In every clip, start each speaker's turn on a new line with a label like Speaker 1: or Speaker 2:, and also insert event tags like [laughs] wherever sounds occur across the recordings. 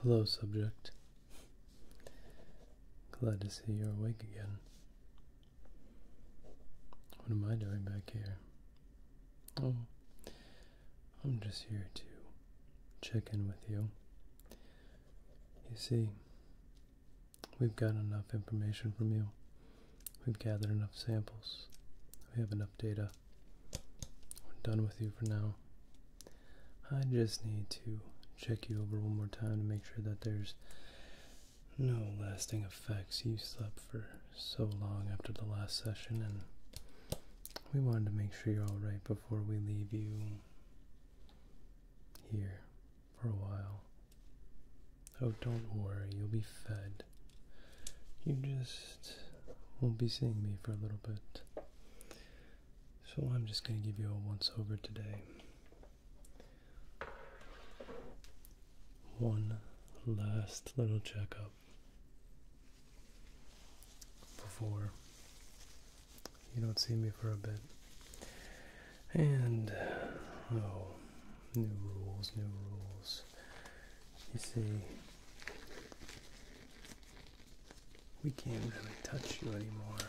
Speaker 1: Hello, subject. Glad to see you're awake again. What am I doing back here? Oh, I'm just here to check in with you. You see, we've got enough information from you We've gathered enough samples. We have enough data. We're done with you for now. I just need to check you over one more time to make sure that there's no lasting effects. You slept for so long after the last session, and we wanted to make sure you're alright before we leave you here for a while. Oh, don't worry, you'll be fed. You just won't be seeing me for a little bit. So I'm just going to give you a once over today. One last little checkup before you don't see me for a bit. And, oh, new rules, new rules. You see, we can't really touch you anymore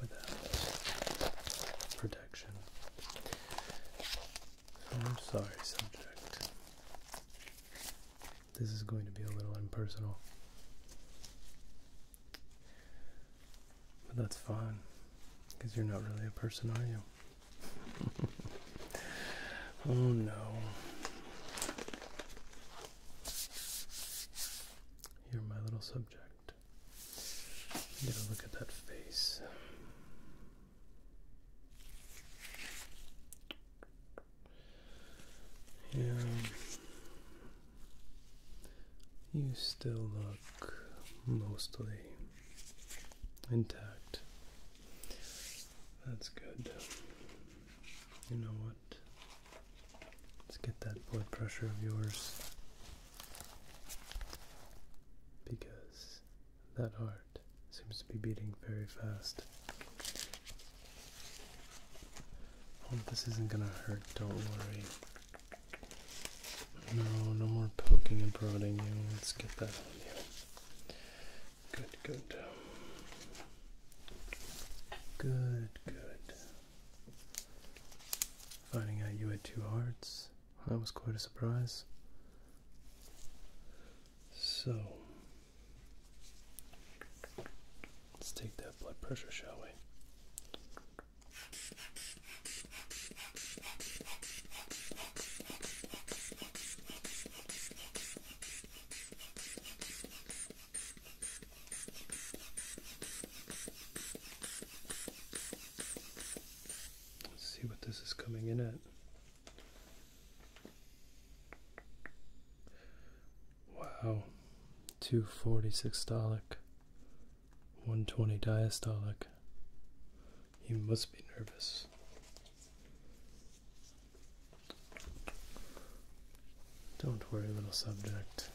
Speaker 1: without protection. I'm sorry, subject. This is going to be a little impersonal. But that's fine, because you're not really a person, are you? [laughs] oh no. Here, my little subject. You got look at that face. Yeah. You still look mostly intact. That's good. You know what? Let's get that blood pressure of yours because that heart seems to be beating very fast. this isn't gonna hurt, don't worry. No, no more poking and prodding you. Let's get that on you. Good, good. Good, good. Finding out you had two hearts, that was quite a surprise. So, let's take that blood pressure, shall we? Let's see what this is coming in at. Wow, two forty six Dalek. 120 diastolic. You must be nervous. Don't worry, little subject.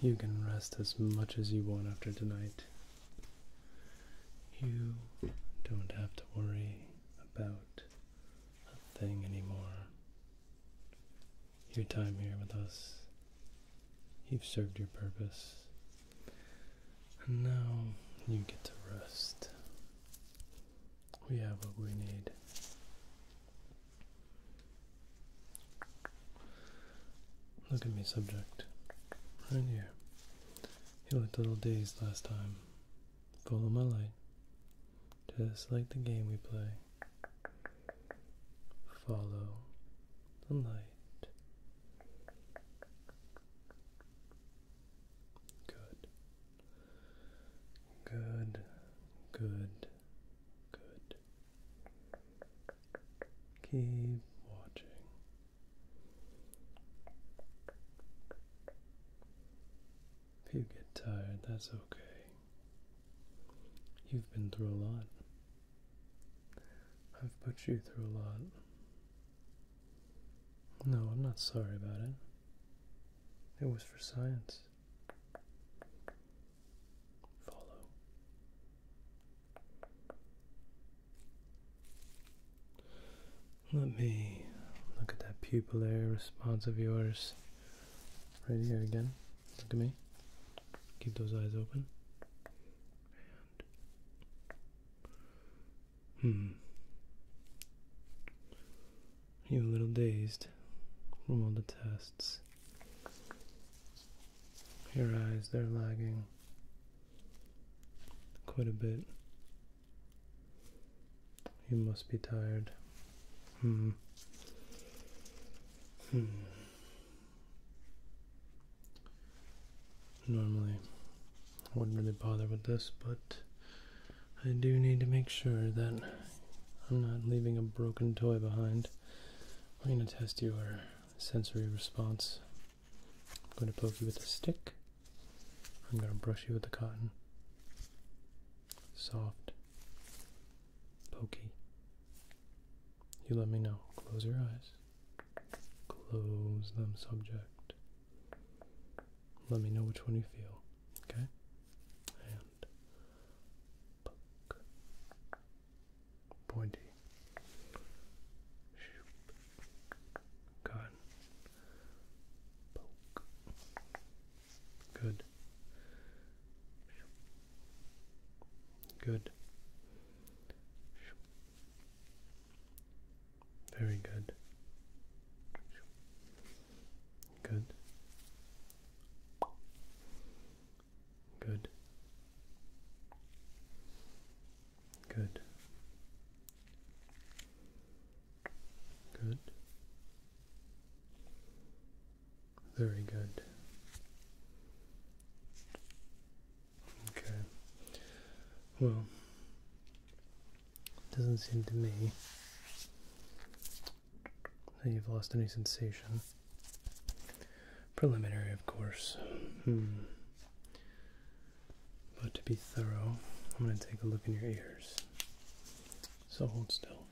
Speaker 1: You can rest as much as you want after tonight. You don't have to worry about a thing anymore. Your time here with us You've served your purpose. And now you get to rest. We have what we need. Look at me, subject. Right here. You looked a little dazed last time. Follow my light. Just like the game we play. Follow the light. Good. Good. Good. Good. Keep watching. If you get tired, that's okay. You've been through a lot. I've put you through a lot. No, I'm not sorry about it. It was for science. Follow. Let me look at that pupillary response of yours right here again. Look at me. Keep those eyes open. Hmm. You are a little dazed from all the tests. Your eyes, they're lagging quite a bit. You must be tired. Hmm. Hmm. Normally, I wouldn't really bother with this, but I do need to make sure that I'm not leaving a broken toy behind. I'm going to test your sensory response. I'm going to poke you with a stick. I'm going to brush you with a cotton. Soft, pokey, you let me know. Close your eyes. Close them, subject. Let me know which one you feel, okay? And Pointy. Shoop. Good. Good. Very good. Good. Good. Good. Good. Very good. Okay. Well, it doesn't seem to me that you've lost any sensation. Preliminary, of course. Hmm. But to be thorough, I'm going to take a look in your ears. So hold still.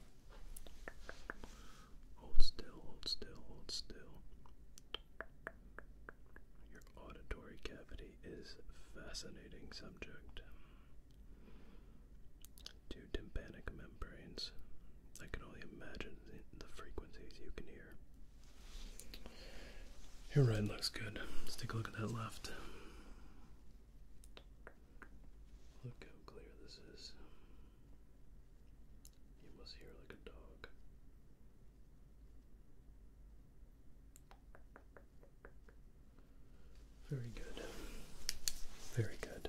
Speaker 1: Hold still, hold still, hold still. Your auditory cavity is fascinating subject. Two tympanic membranes. I can only imagine the frequencies you can hear. Your right looks good. Let's take a look at that left. Look how clear this is. He was here like a dog. Very good. Very good.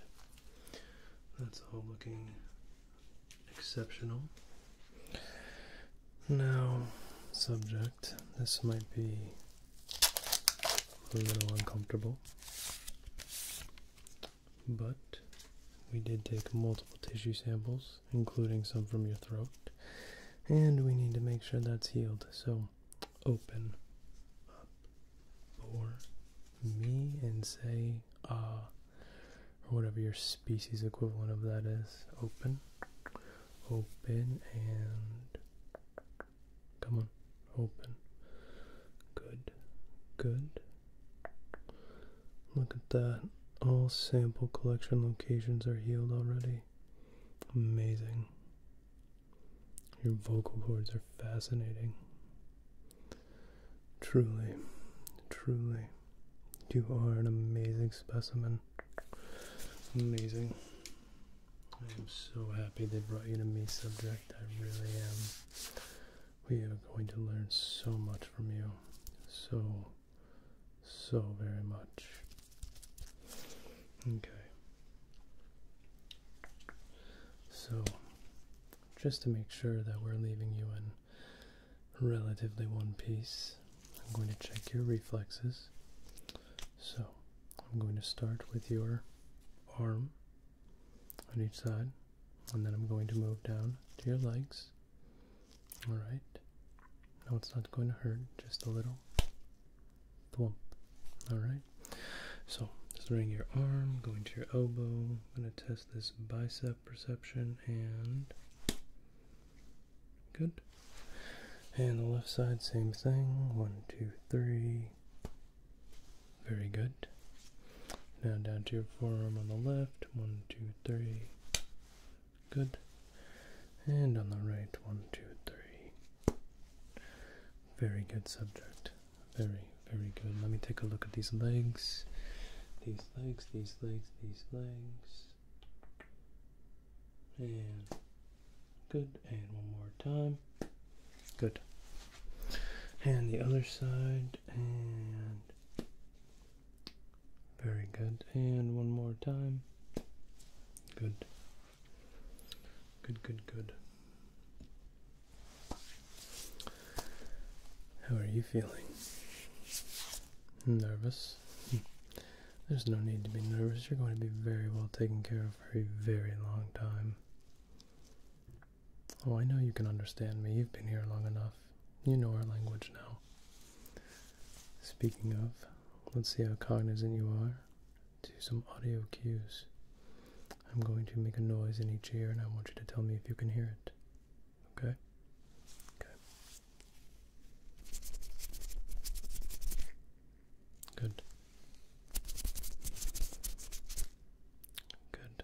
Speaker 1: That's all looking exceptional. Now, subject, this might be a little uncomfortable but we did take multiple tissue samples, including some from your throat, and we need to make sure that's healed. So open up for me and say ah, or whatever your species equivalent of that is. Open, open, and come on, open. Good, good. Look at that. All sample collection locations are healed already. Amazing. Your vocal cords are fascinating. Truly, truly, you are an amazing specimen. Amazing. I am so happy they brought you to me, subject. I really am we are going to learn so much from you. So, so very much. Okay. So, just to make sure that we're leaving you in relatively one piece, I'm going to check your reflexes. So, I'm going to start with your arm on each side, and then I'm going to move down to your legs. All right. No, it's not going to hurt, just a little thwomp. All right. So bring your arm, going to your elbow. I'm going to test this bicep perception and good. And the left side, same thing. One, two, three. Very good. Now down to your forearm on the left. One, two, three. Good. And on the right. One, two, three. Very good subject. Very, very good. Let me take a look at these legs. These legs, these legs, these legs. And good. And one more time. Good. And the other side, and very good. And one more time. Good. Good, good, good. How are you feeling? Nervous? Hmm. There's no need to be nervous. You're going to be very well taken care of for a very long time. Oh, I know you can understand me. You've been here long enough. You know our language now. Speaking of, let's see how cognizant you are to some audio cues. I'm going to make a noise in each ear and I want you to tell me if you can hear it. Okay? Okay. Good. Good.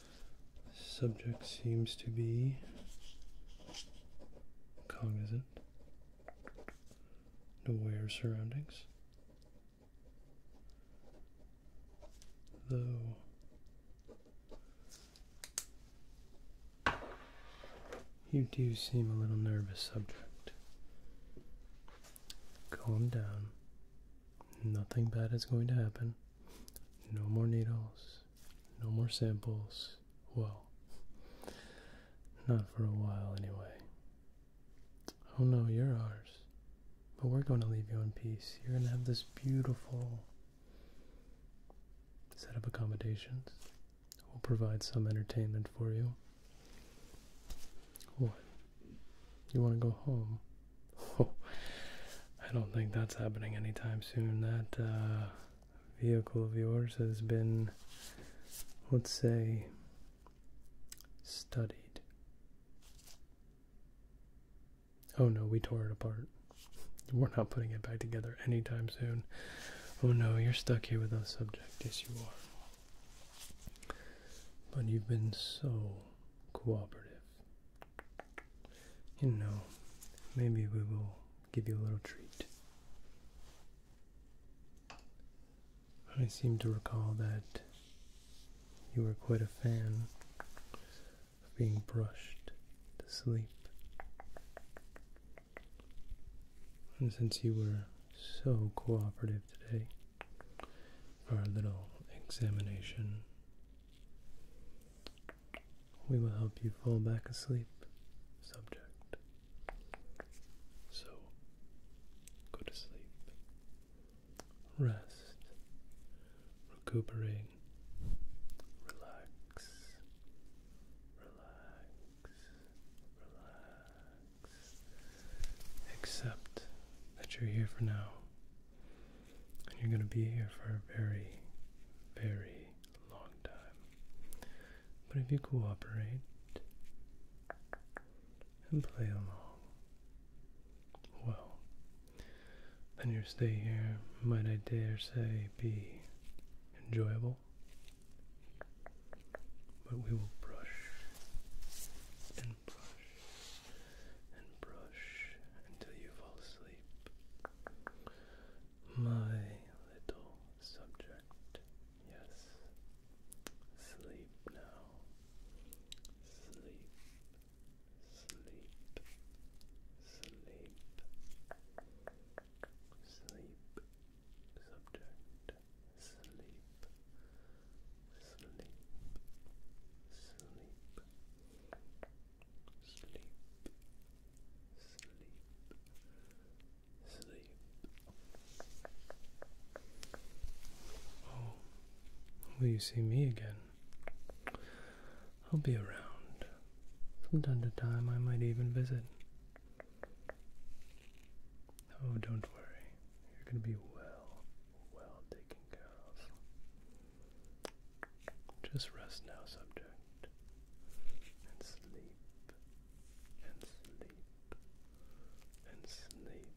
Speaker 1: subject seems to be cognizant, aware of surroundings, though. You do seem a little nervous, subject. Calm down. Nothing bad is going to happen. No more needles, no more samples. Well, not for a while anyway. Oh no, you're ours. But we're going to leave you in peace. You're going to have this beautiful set of accommodations. We'll provide some entertainment for you. What? You want to go home? Oh, [laughs] I don't think that's happening anytime soon. That uh, vehicle of yours has been, let's say, studied. Oh no, we tore it apart. [laughs] We're not putting it back together anytime soon. Oh no, you're stuck here with us, subject. Yes, you are. But you've been so cooperative you know, maybe we will give you a little treat. I seem to recall that you were quite a fan of being brushed to sleep. And since you were so cooperative today our little examination we will help you fall back asleep, subject. So, go to sleep. Rest. Recuperate. Relax. Relax. Relax. Accept that you're here for now. And you're going to be here for a very, very long time. But if you cooperate and play along, well, then your stay here might, I dare say, be enjoyable. But we will brush and brush and brush until you fall asleep sleep. My little subject, yes. Sleep now. Sleep, sleep, sleep, sleep, subject, sleep, sleep, sleep, sleep, sleep, sleep. Oh, will you see me again? I'll be around. From time to time, I might even visit. Oh, don't worry. You're going to be well well taken care Just rest now, subject, and sleep, and sleep, and sleep.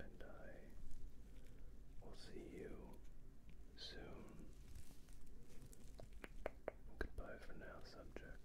Speaker 1: And I will see you soon. Goodbye for now, subject.